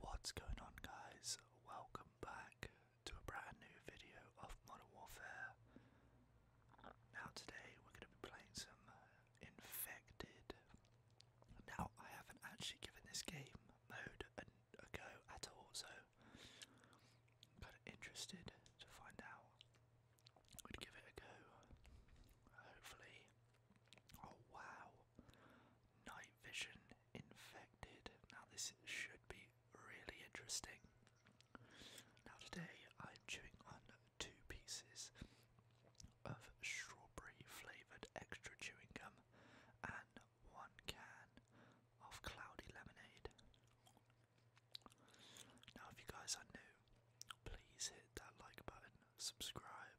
What's going on, guys? Welcome back to a brand new video of Modern Warfare. Now today we're going to be playing some uh, Infected. Now I haven't actually given this game mode a, go at all, so kind of interested to find out. i give it a go. Hopefully. Oh wow. Night vision infected. Now this should be really interesting. Now, today I'm chewing on two pieces of strawberry flavoured extra chewing gum and one can of cloudy lemonade. Now, if you guys are new, please hit that like button, subscribe,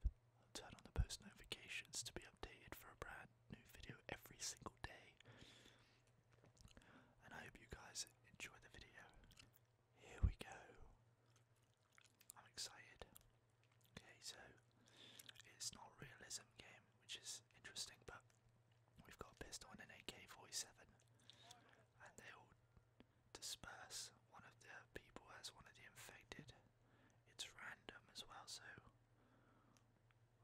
turn on the post notifications to be updated for a brand new video every single day and I hope you guys enjoy the video. Here we go. I'm excited. Okay, so it's not realism game, which is interesting, but we've got a pistol an AK-47, and they all disperse. One of the people as one of the infected. It's random as well, so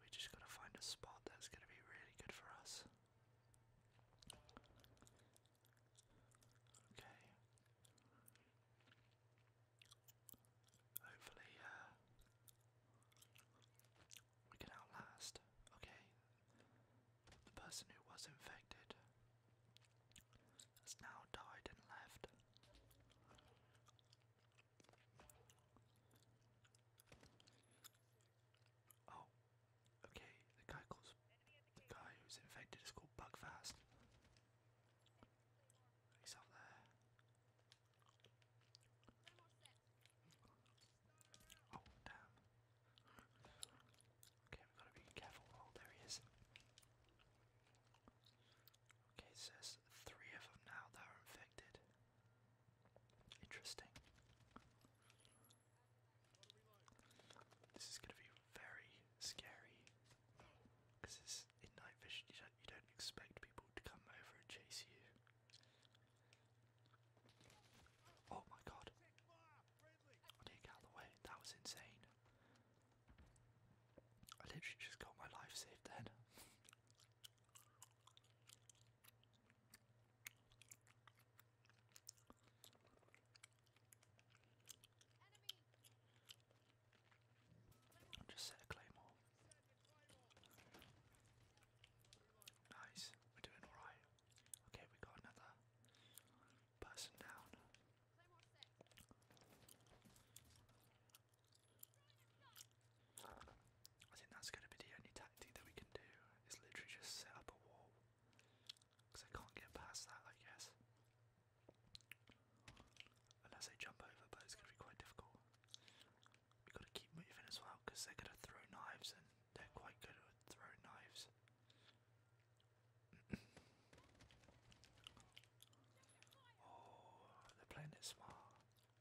we just gotta find a spot that's gonna be really good for us. Okay. Hopefully, uh, we can outlast. Okay. The person who was infected has now died and left. Oh, okay. The guy calls the guy who's infected is called Bugfast. He's up there. Oh damn. Okay, we've got to be careful. Oh, there he is. Okay, says three of them now that are infected. Interesting. This is going to be very scary because it's in night vision. You don't, expect people to come over and chase you. Oh my god! get out of the way. That was insane. I literally just got my life saved then. Just set a claymore. Nice, we're doing alright. Okay, we got another person down. I think that's going to be the only tactic that we can do It's literally just set up a wall. Because I can't get past that, I guess. Unless they jump over, but it's going to be quite difficult. We've got to keep moving as well because they're going to throw knives and they're quite good at throwing knives. oh, they're Okay,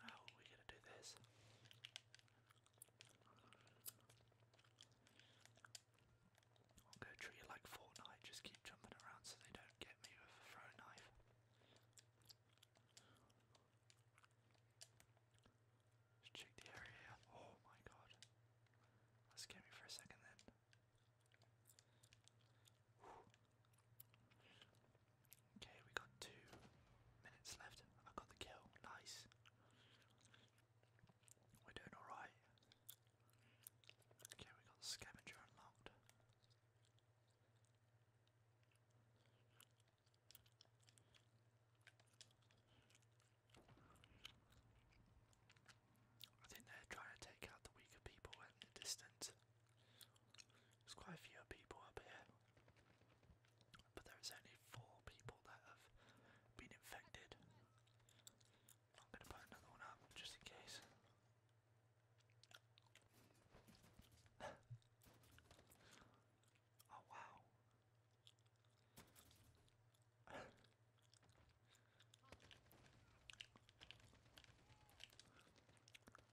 how we gonna do this? I'll go treat it like Fortnite, just keep jumping around so they don't get me with a throw knife. Just check the area. Oh my god. That scared me for a second then. Okay, we got two minutes left. I got the kill. Nice. We're doing alright. Okay, we got scavenger unlocked. I think they're trying to take out the weaker people at the distance. There's quite a few people up here, but there's only four people that have been infected. I'm gonna put another one up just in case. Oh wow.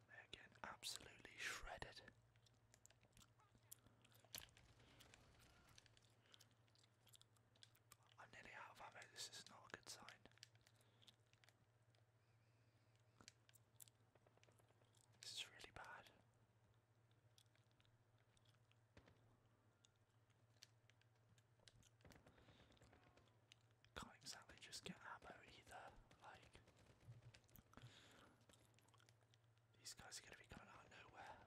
They're getting absolutely shredded. I'm nearly out of ammo, this is not a good sign. This is really bad. Can't exactly just get ammo either, like these guys are gonna be coming out of nowhere.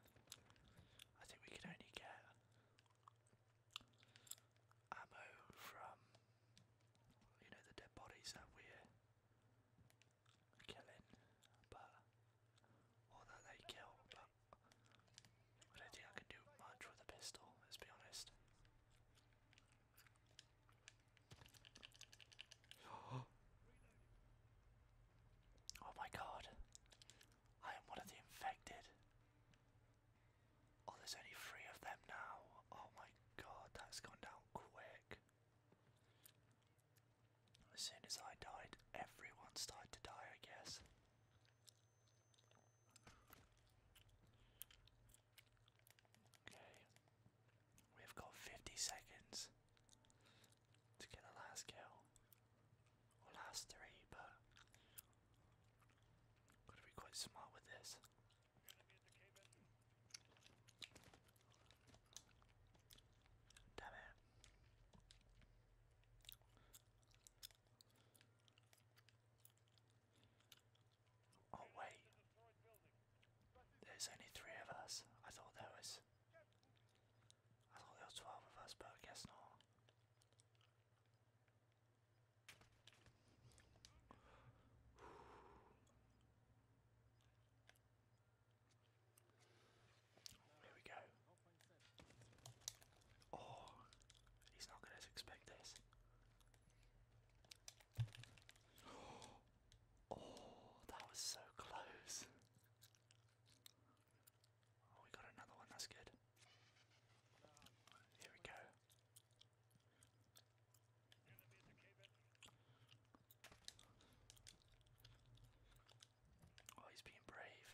I think we can only get ammo from you know the dead bodies that we're killing, but or that they kill, I don't think I can do much with a pistol, let's be honest. Oh my god, I am one of the infected. Oh, there's only three of them now. Oh my god, that's gone down quick. As soon as I died, everyone started to die, I guess. Okay. We've got 50 seconds to get the last kill. last three, but gotta be quite smart with this. Damn it. Oh wait. There's only three of us. I thought there was I thought there was twelve of us, but I guess not. Here we go. Oh, he's not going to expect this. Oh, that was so close. Oh, we got another one, that's good. Here we go. Oh, he's being brave.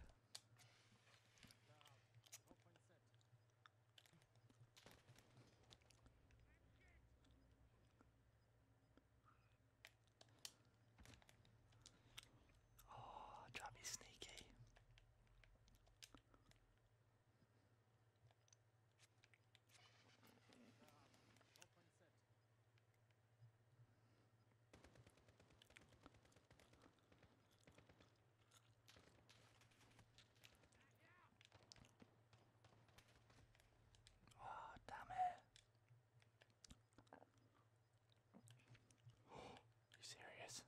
Oh, Johnny's sneaky. Oh, damn it. Oh, you serious?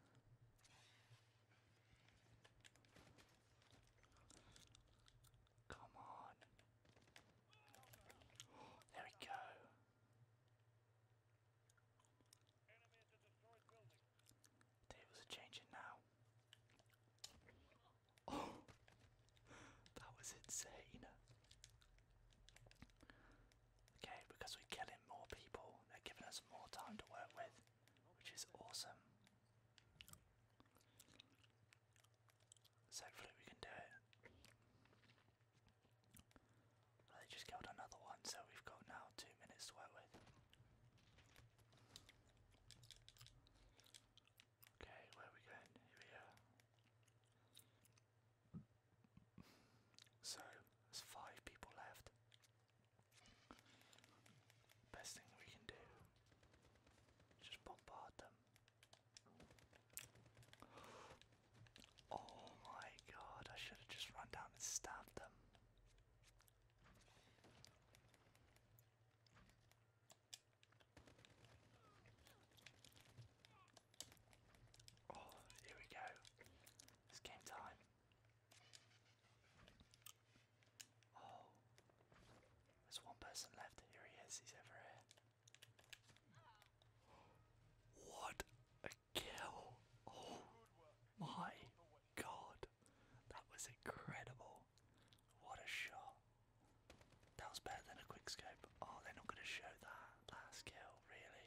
Come on. There we go. Tables are changing now. Oh, that was insane. Okay, because we're killing more people, they're giving us more time to work with, which is awesome. So hopefully we can do it. Well, just killed another one, so we've got now two minutes to work with. Okay, where are we going? Here we are. So, there's five people left. Best thing we can do just bombard them. Oh my god, I should have just run down and stabbed them. Oh, here we go. It's game time. Oh. There's one person left. Here he is. He's ever here. What a kill. Oh my god. That was incredible. What a shot. That was better than a quick scope. Oh, they're not going to show that last kill, really.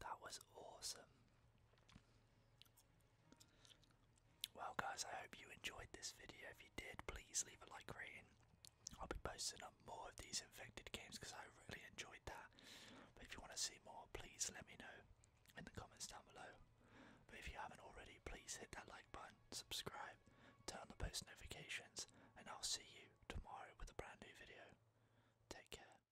That was awesome. Well, guys, I hope you enjoyed this video. If you did, please leave a like rating. I'll be posting up more of these infected games because I really enjoyed that. But if you want to see more, please let me know in the comments down below. But if you haven't already, please hit that like button, subscribe, turn on the post notifications, and I'll see you tomorrow with a brand new video. Take care.